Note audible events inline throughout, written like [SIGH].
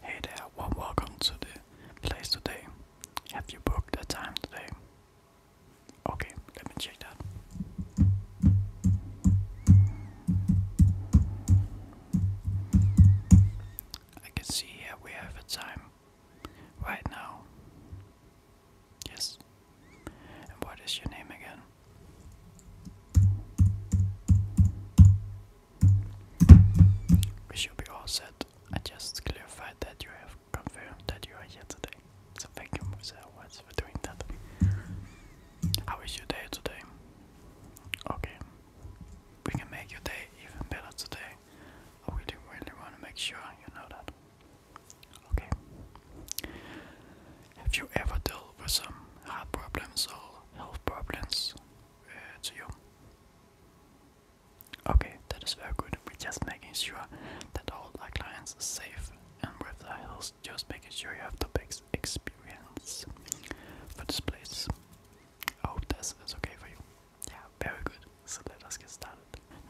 Hey there, welcome to the place today. Have you booked a time today? Okay, let me check that. I can see here we have a time right now. Yes. And what is your name again? We should be all set. I just clarified that you have confirmed that you are here today. So thank you, Musa, for doing that. How is your day today? Okay. We can make your day even better today. I really, really want to make sure you know that. Okay. Have you ever dealt with some heart problems or health problems uh, you? Okay, that is very good. We're just making sure that all our clients are safe and with the health, just making sure you have the best experience for this place. Oh, hope this is okay for you. Yeah, very good. So let us get started.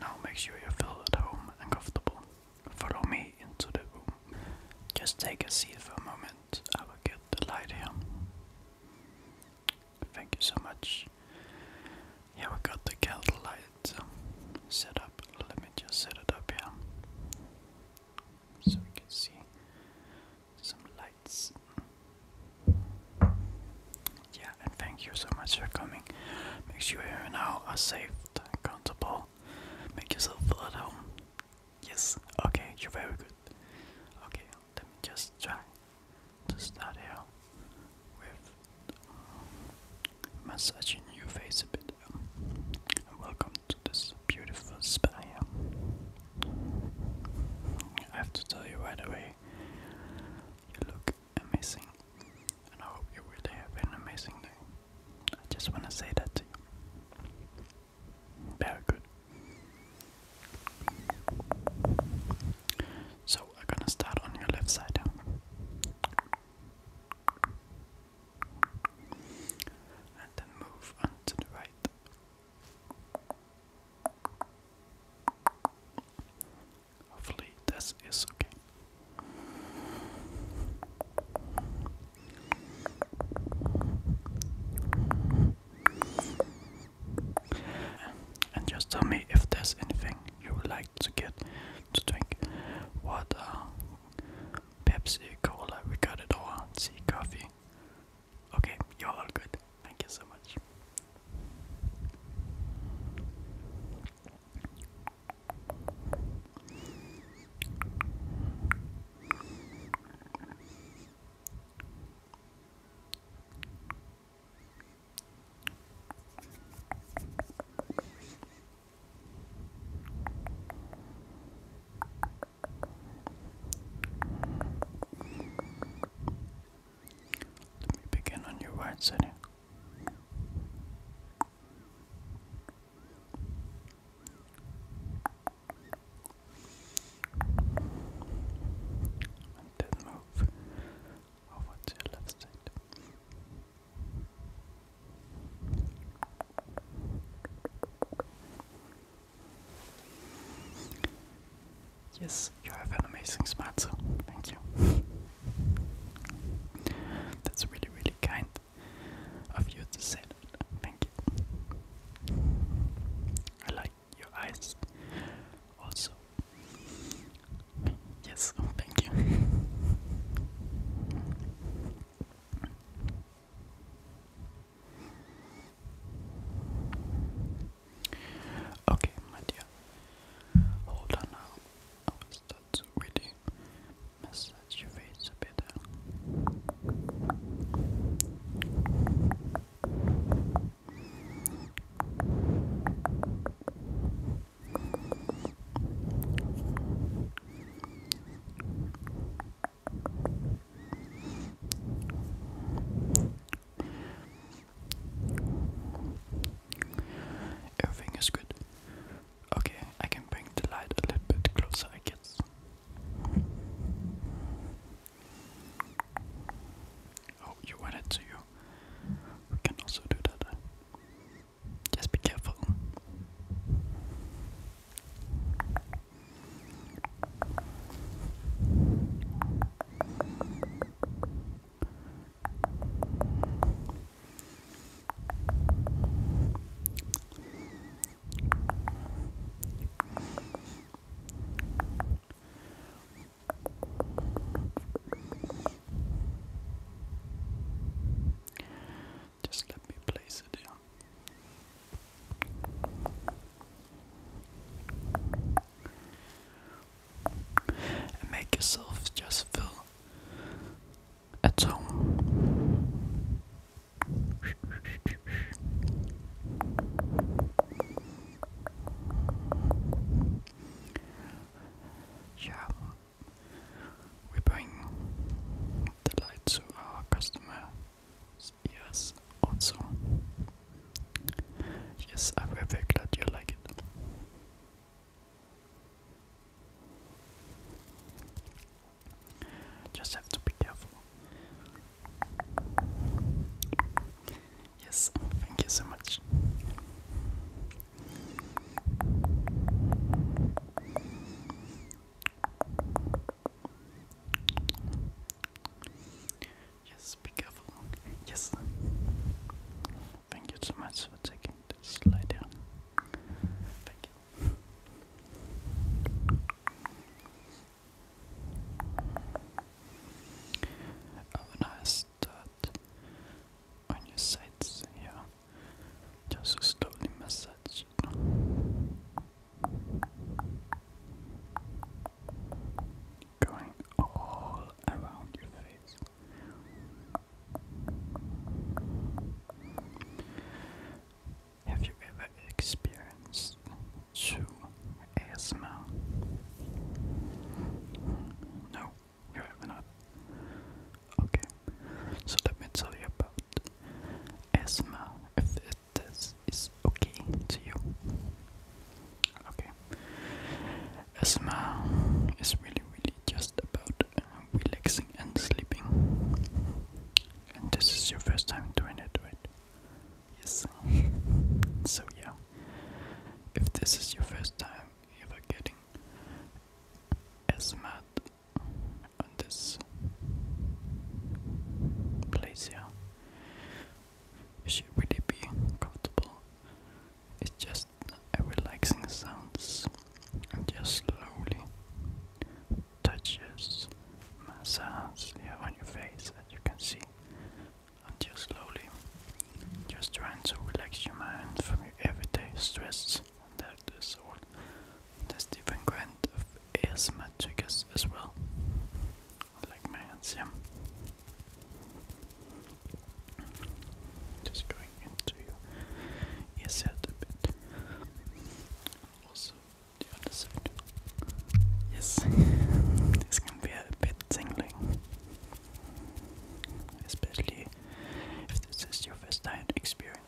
Now make sure you feel at home and comfortable. Follow me into the room. Just take a seat for a moment. I will get the light here. Thank you so much. Yeah, we got the candle light set up. Let me just set it up here so we can see some lights. Yeah, and thank you so much for coming. Make sure you now are safe comfortable. Make yourself feel at home. Yes, okay, you're very good. Okay, just try to start here with massaging your face a bit. Welcome to this beautiful spa I have to tell you right away, you look amazing, and I hope you really have an amazing day. I just want to say that to you. Very good. So I'm gonna start on your left side. And then move on the right. Hopefully, this is okay and just tell me if there's anything you would like to get to drink. What? Uh, Pepsi, cola, we got it all. See, coffee. Okay, you're all good. Thank you so much. Let me begin on your right side. And then move over to your left side. Yes, you have an amazing smile, thank you. That's really, really kind of you to say that. Thank you. I like your eyes also. Yes, oh, thank you. Okay, my Hold on now. I will start to really massage your face a bit. Uh. Everything is good. Okay, I can bring the light a little bit closer, I guess. Oh, you want it, too? you can also do that. Uh, just be careful. Just let me place it down. make yourself just feel at home. Yeah, we bring the light to our customers' ears also. Yes, I'm very, very glad you like it. Just have to be careful. Yes, thank you so much. Yes, be careful. Yes. Thank you so much for taking the slide down. Thank you. Have oh, a nice start on your sides here. Just slowly massage Going all around your face. Have you ever experienced too ASMR. No, you're not. Okay, so let me tell you about ASMR if it, okay to you. Okay, ASMR is really, really just about uh, relaxing and sleeping. And this is your first time doing it, right? Yes. so yeah. If this is your first time ever getting SMAT on this place here, it should really be comfortable. It's just a relaxing sounds and just slowly touches massage here on your face as you can see until slowly, just trying to relax your mind from your everyday stress. That is all. There's different kind of ASMR triggers as well, like my Just going into your earset a bit. Also, the other side. Yes, [LAUGHS] this can be a bit get tingling. Especially if this is your first time to it.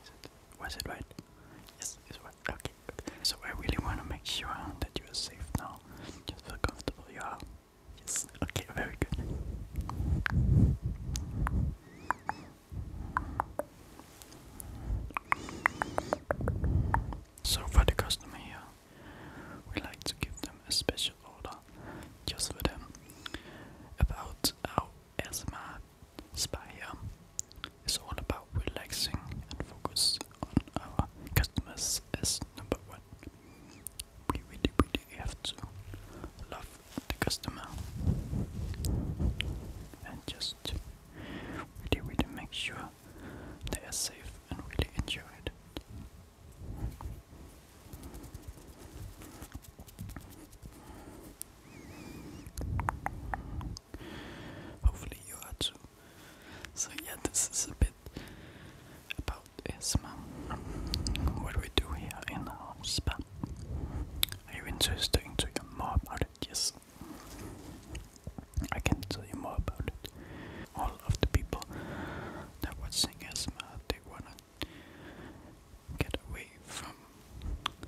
Was it right? Yes, it's right. Okay, So I really want to make sure that you are safe now. Just feel comfortable you are. Yes, okay, very good. So for the customer here, we like to give them a special order just for them about our ASMR Spire is all about relaxing and focus on our customers as number one. We really, really have to love the customer and just really, really make sure they are safe and really enjoy it. Hopefully you are too. So yeah, this is a bit about asthma. What we do here in our spa. Are you interested in to hear more about it? Yes. I can tell you more about it all of the people that were singing Esma, uh, they wanna get away from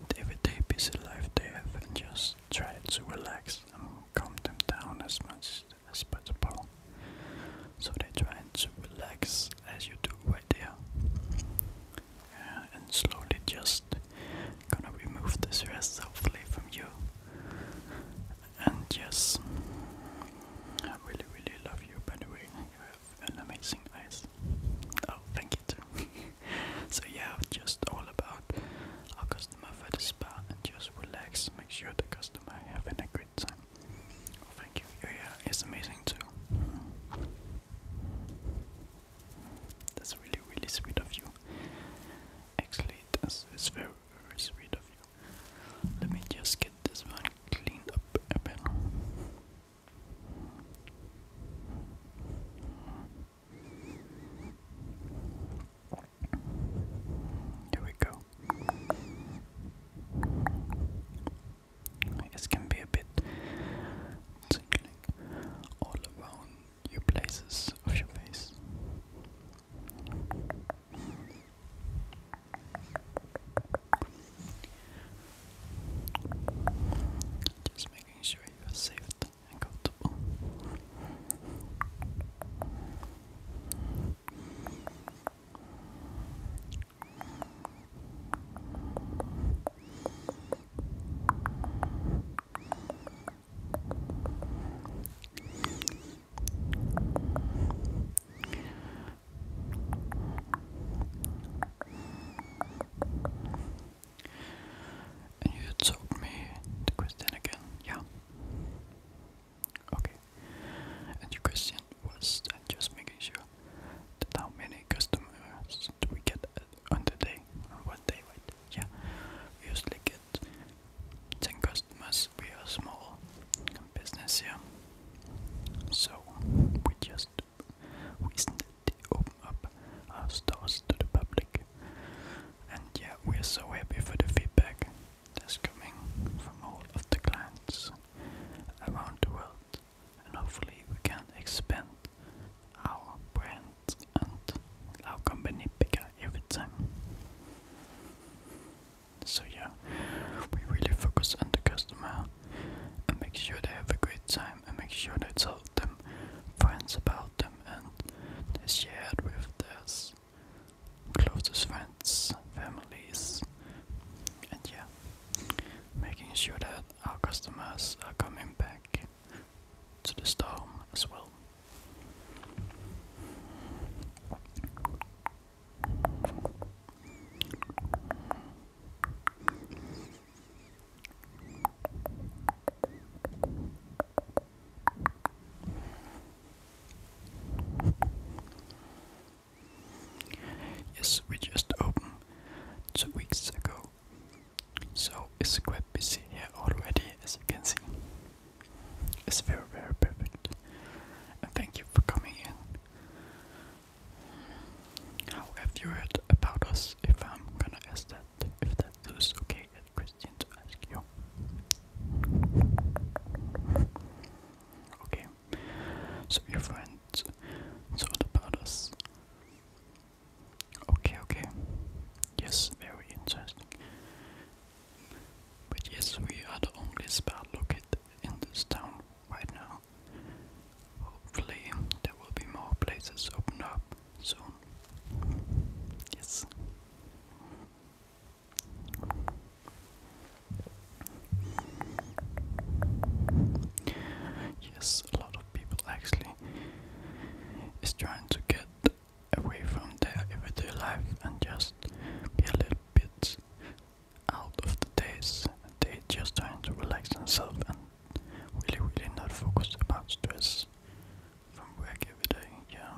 the everyday busy life they have and just try to relax and calm them down as much as possible. So they try to relax as you do right there. and slowly just gonna remove the stress hopefully from you and yes, I really, really love you. By the way, you have an amazing eyes. Oh, thank you too. [LAUGHS] so yeah, just all about customer for the spa and just relax. Make sure the customer having a great time. Oh, thank you. Yeah, yeah, it's amazing too. That's really, really sweet of you. Actually, it's, it's very, very sweet of let me just get this one cleaned up a bit. Here we go. This can be a bit tingling all around your places of your face. Just making sure you are safe and comfortable. And you told me the question again, yeah. Okay. And your question was I'm just making sure how many customers do we get uh, on the day? On what day, right? Yeah. usually get ten customers we are a small business here, so we just recently opened up our stores to the public, and yeah, we are so happy for the feedback that's coming from all of the clients around the world, and hopefully we can expand our brand and our company bigger every time. So yeah, we really focus on the customer and make sure they have a great time and make sure they tell them friends about them and they share with their closest friends, families, and yeah, making sure that our customers are coming back to the store as well. Yes, we just opened two weeks ago, so it's quite busy here already, as you can see. It's very, very perfect. And thank you for coming in. How have you heard about us? If I'm gonna ask that, if that is okay, that Christian to ask you. Okay, so your friend thought about us. Okay, okay. Yes, very interesting. But yes, we are the only spa located in this town right now. Hopefully, there will be more places opened up soon. Yes. Yes, a lot of people actually is trying to get away from their everyday life and just be a little bit out of the days. They just trying to relax themselves and really, really not focus about stress from work every day. Yeah.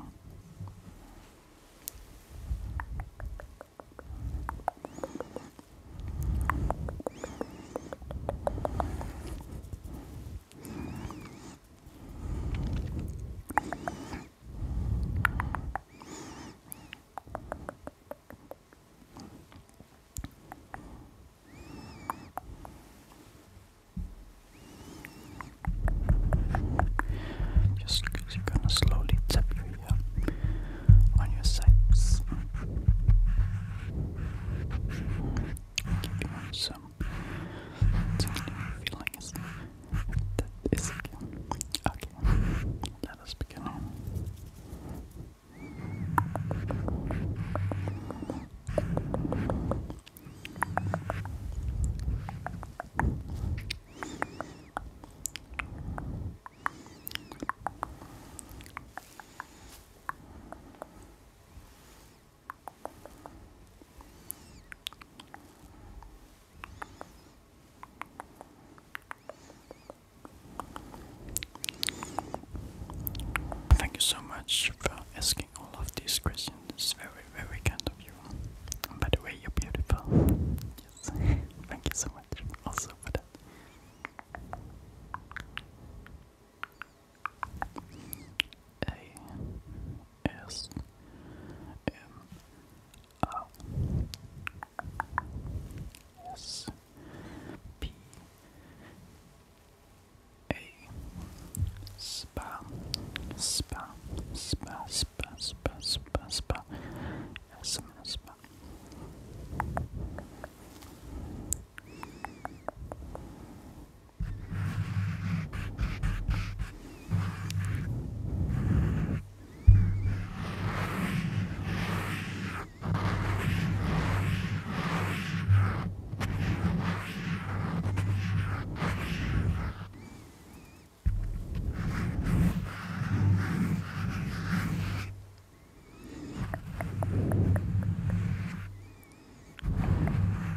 Just because you're gonna slowly tap your ear uh, on your sides. Give you some tingling feelings. That is Okay. Let us begin. Thank you so much for asking all of these questions. It's very, very kind of you. by the way, you're beautiful. Yes. [LAUGHS] Thank you so much also for that. A S M O S P A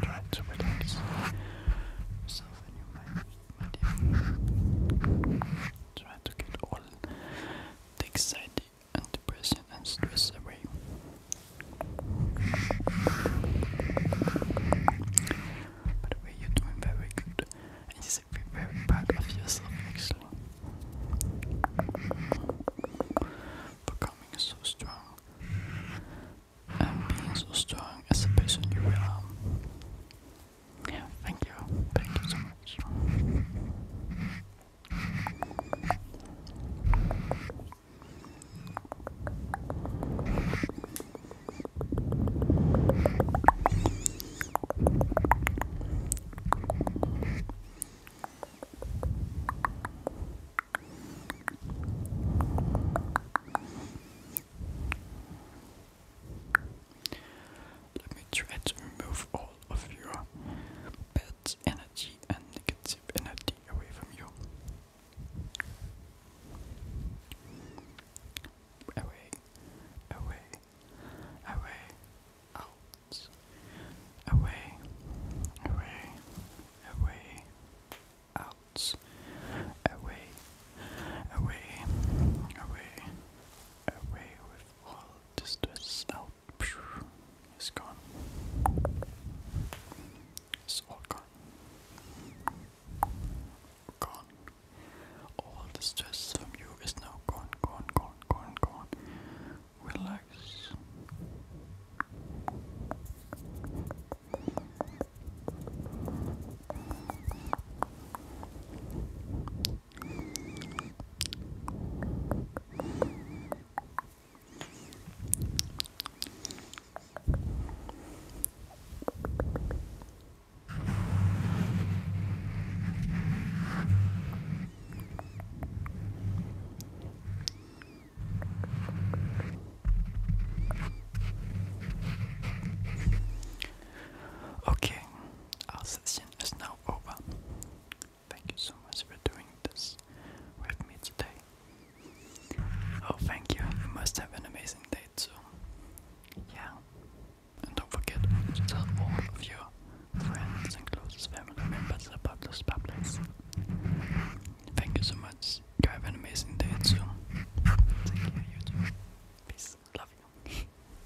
Trying to relax yourself and your mind media. Try to get all the anxiety and depression and stress away. By the way, you're doing very good, and you should be very proud of yourself actually. Becoming so strong and being so strong as a person you are. Yeah, thank you. Thank you so much. Let me try to remove all of your bad energy and negative energy away from you. Away, away, away, out, away, away, away, out, away, away, away, away all the stress out. It's gone. It's all gone. Gone. All the stress from you is now gone, gone, gone, gone, gone. Relax. Okay, you lesson is now over. Thank you so much for doing this with me today. Oh, thank you. You must have an amazing day too. Yeah. And don't forget to tell all of your friends and closest family members about those bubbles. Thank you so much. You have an amazing day too. Take care, you Peace. Love you.